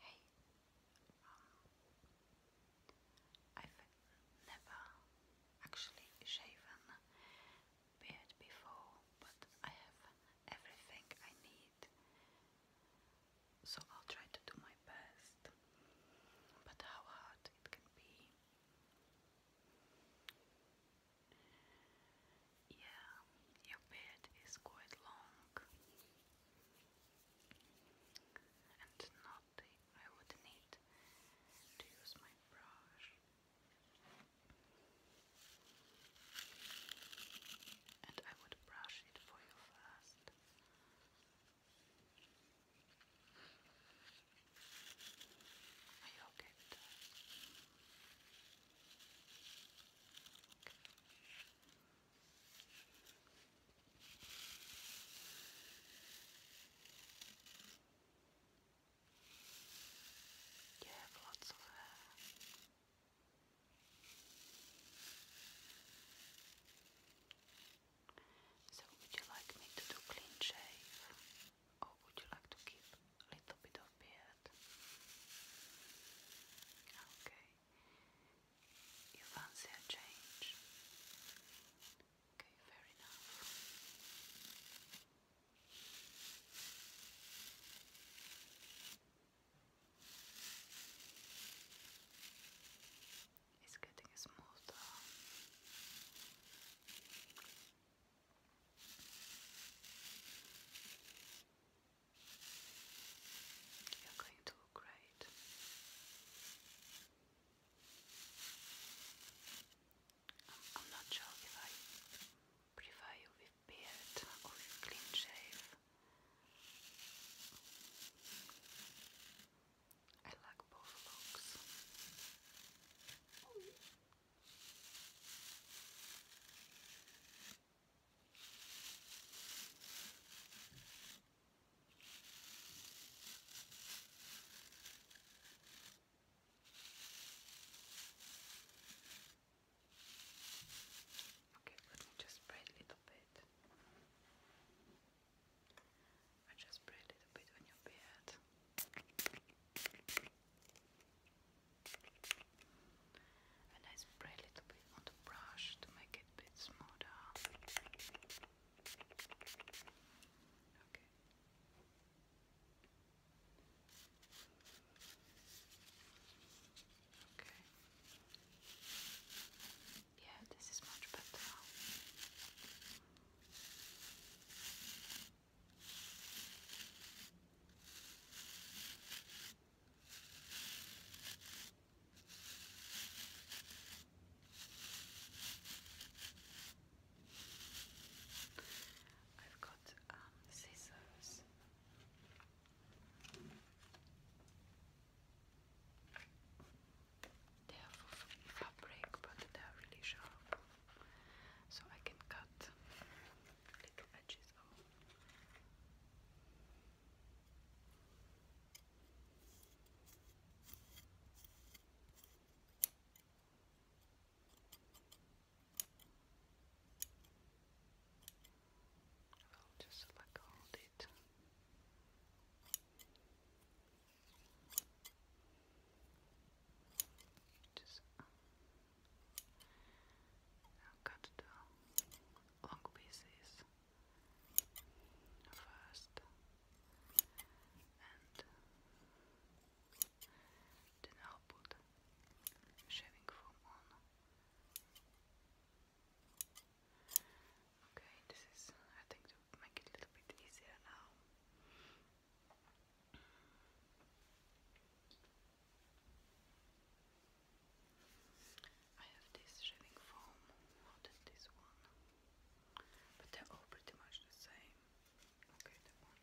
Hey, um, I've never actually shaven beard before, but I have everything I need, so I'll try to do my best. But how hard it can be. Yeah, your beard is quite long, and not I would need to use my brush. And I would brush it for you first. Are you okay with that? You lots of uh, So would you like me to do clean shave or would you like to keep a little bit of beard? Okay. You fancy a change? Okay, fair enough. It's getting smoother. You're going to look great. I'm, not sure if I prefer you with beard or with clean shave. I like both looks. Oh, Okay, let me just spray a little bit. I just spray a little bit on your beard. And I spray a bit on the brush to make it a bit smoother. Okay. Okay. Yeah, this is much better. I've got um, scissors. They are for fabric, but they are really sharp, so I can cut little edges oh. I'll just like hold it. Just uh, now cut the long pieces first and then I'll put shaving foam on. Okay, this is I think to make it a little bit easier now. I have this shaving foam, not this one, but they're all pretty much the same. Okay, the one.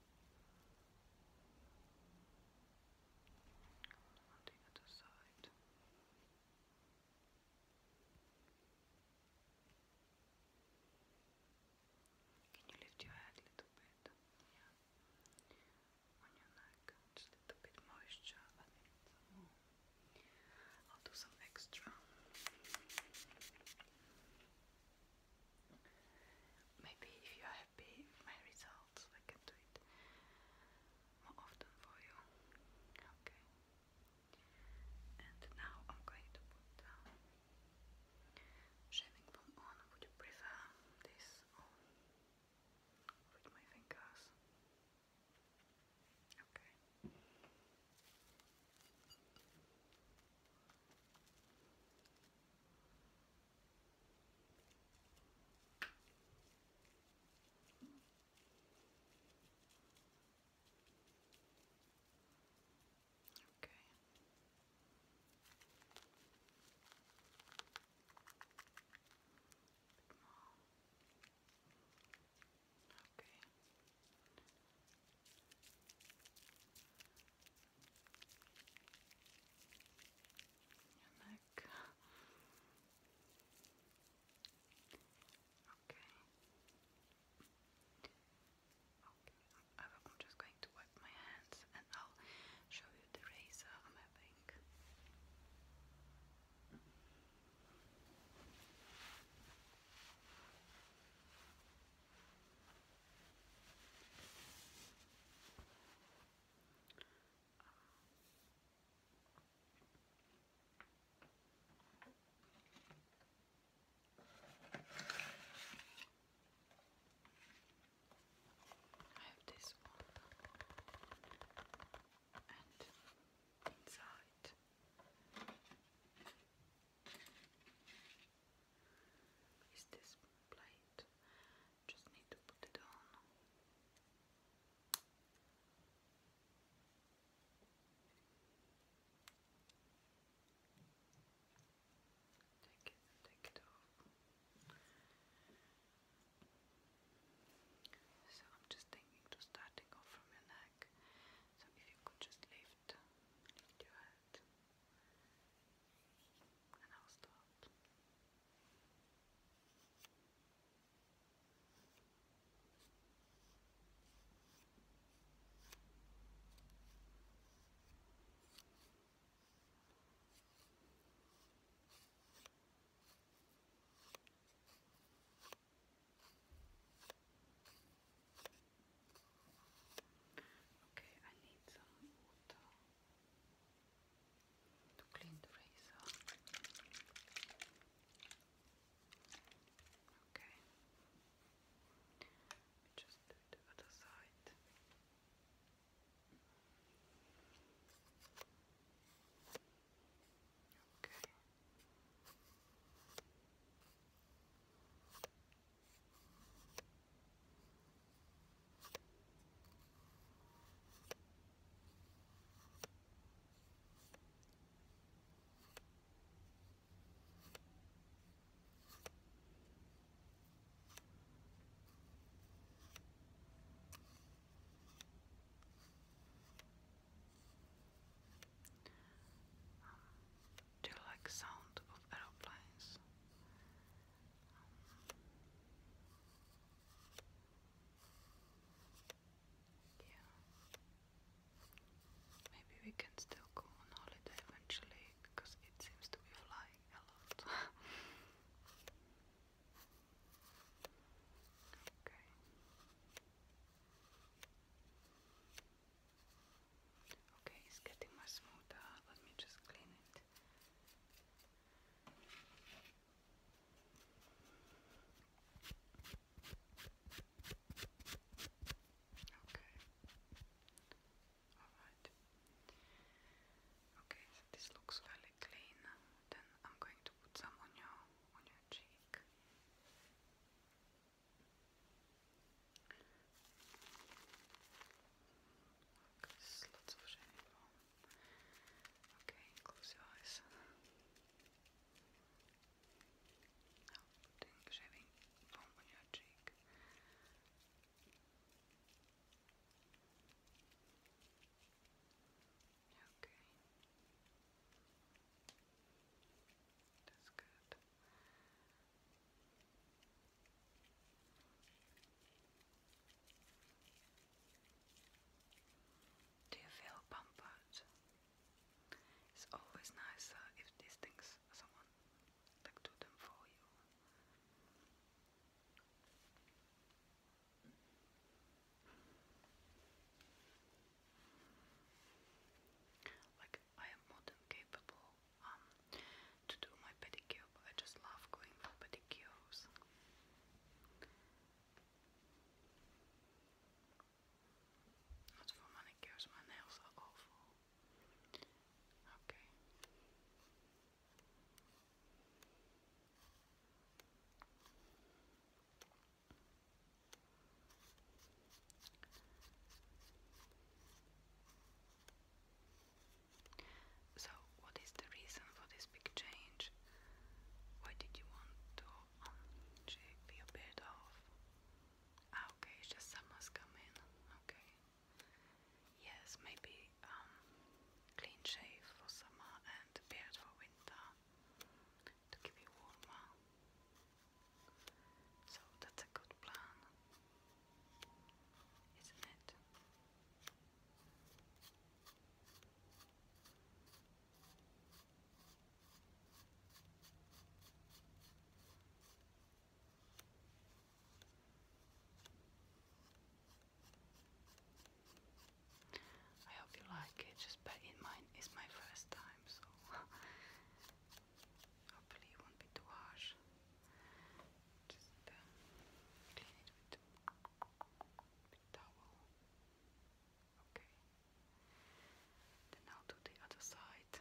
on the other side. Can you lift your head a little bit? On your neck, just a little bit moisture. I will do some extra. Maybe if you are happy my results, I can do it more often for you. Okay. And now I'm going to put down um, shaving foam on. Would you prefer this on with my fingers? Okay. Okay. Bit more. Okay. Your Okay. Okay, I'm, just going to wipe my hands and I'll show you the razor I'm having. I have this one and inside is this plate it. Just need to put it on. Take it take it off. So I'm just thinking to starting off from your neck. So if you could just lift, lift your head, and I'll start. Okay, I need some water to clean the razor. Okay. Let me just do the other side. Okay. Um, do you like sound of aeroplanes? Yeah. Maybe we can still go on holiday eventually because it seems to be flying a lot. okay. Okay, it's getting much smoother. Let me just clean it. Okay. Alright. Okay, this looks fairly clean. Then I'm going to put some on your on your cheek. There's lots of shiny foam. Okay, close your eyes. Now putting shaving foam on your cheek. Okay. That's good. Do you feel pampered? It's always nicer if these things someone like do them for you. Like I am more capable um, to do my pedicure, but I just love going for pedicures. Not for manicures, my nails are Okay. So, what is the reason for this big change? Why did you want to unshave your beard off? Ah, okay, it's just summer's coming. Okay. Yes, maybe um, clean shave for summer and beard for winter to keep you warmer. So that's a good plan isn't it? I hope you like it, just bear in mind it's my first time, so hopefully it won't be too harsh. Just clean it with a Okay. Then now to the other side.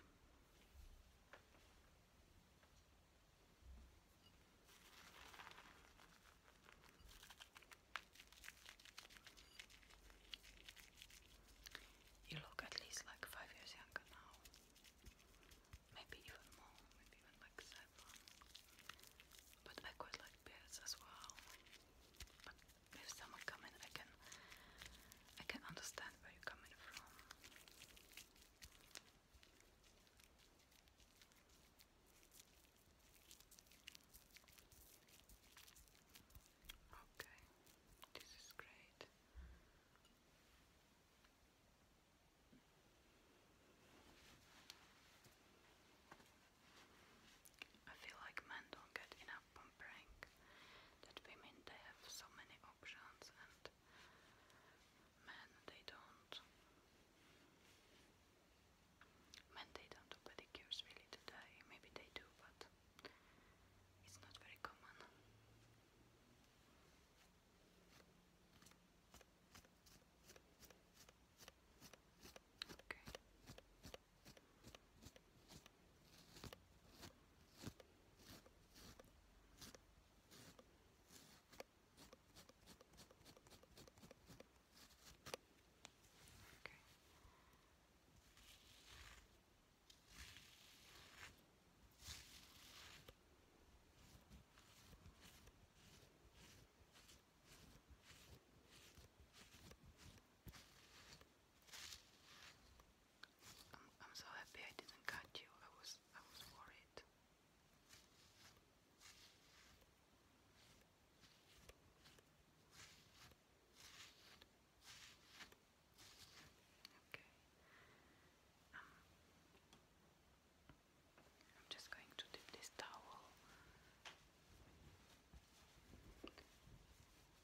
You look at least like five years younger now. Maybe even more, maybe even like 7 but I quite like beards as well. if someone come in, I can I can understand where you're coming from. Okay, this is great. I feel like men don't get enough pampering. That women they have so many options and men they don't. Men they don't do pedicures really today. Maybe they do, but it's not very common. Great. Okay. I'm, so happy I didn't cut you. I was I was worried. Okay. Um, I'm just going to dip this towel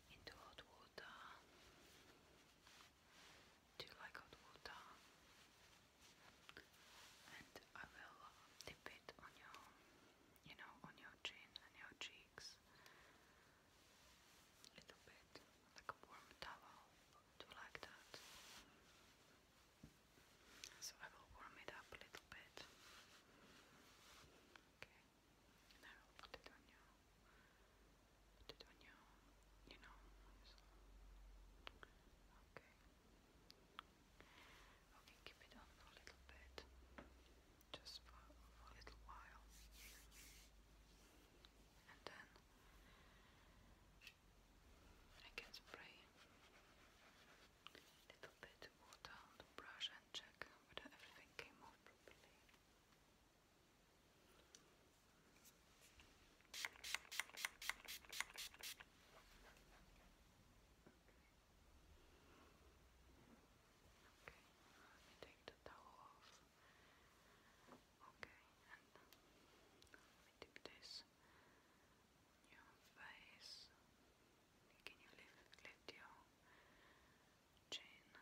into hot water. Do you like hot water? And I will dip it on your, you know, on your chin and your cheeks. A little bit, like a warm towel do like that. So I will warm it up a little bit. Okay, and I will put it on you. Put it on you. You know. Okay. Okay, keep it on for a little bit, just for, for a little while, and then I can spray a little bit of water the brush and check whether everything came off properly. Okay, let take the towel off. Okay, and let me this your face. Can you lift, your chin?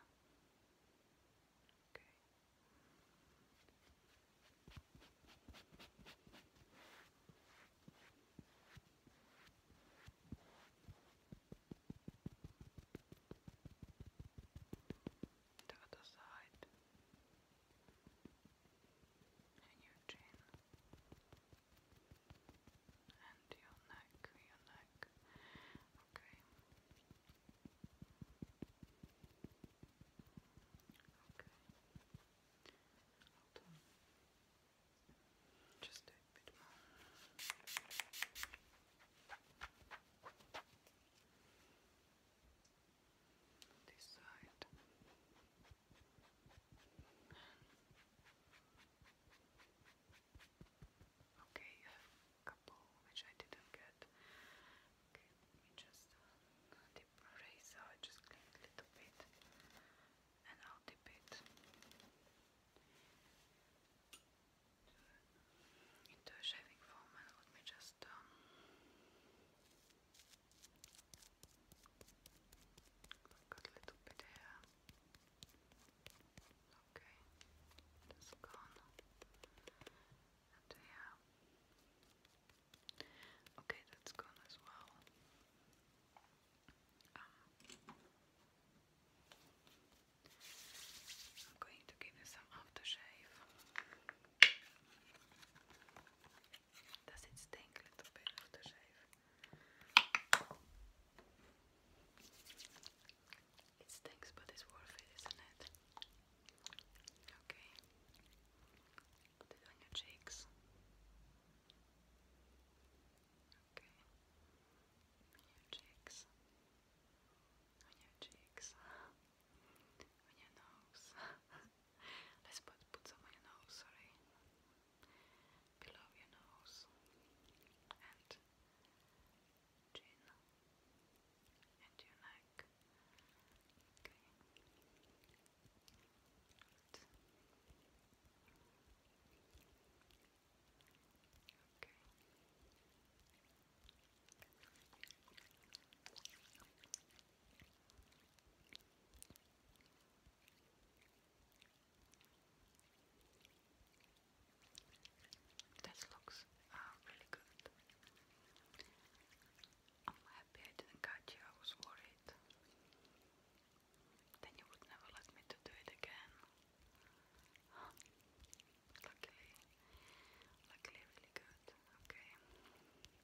Okay. The other side and your chin and your neck, your neck. Okay. Okay. Just a bit more this side okay, you have a couple which I didn't get okay, let me just uh, dip eraser, I just clean a little bit and I'll dip it into shaving foam and let me just dan Look a little bit oké, Okay, that's gone. And here. Okay, that's gone as dus well. Um, ehm, I'm going to give you some shave. Does it It stinks, but it's worth it, isn't it? Okay. Put it on your cheeks. Okay. On your cheeks. On your cheeks. On your nose. Let's put, put some on your nose, sorry. Below your nose. And chin. And your neck. Okay. Okay. This looks uh, really good. I'm happy I didn't catch you, I was worried. Then you would never let me to do it again. Luckily, luckily really good. Okay.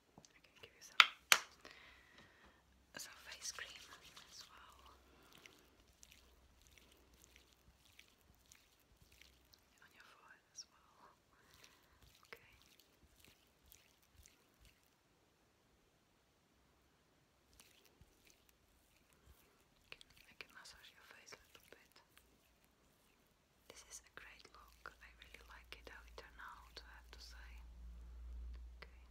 I give you some some cream as well on your forehead as well. Okay. can massage your face a little bit. This is a great look. I really like it how it turned out, I have to say. Okay.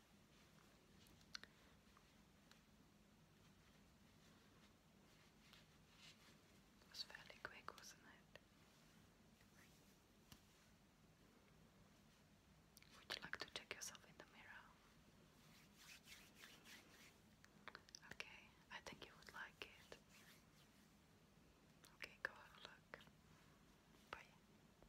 It was fairly quick, wasn't it? Would you like to check yourself in the mirror? Okay, I think you would like it. Okay, go have a look. Bye.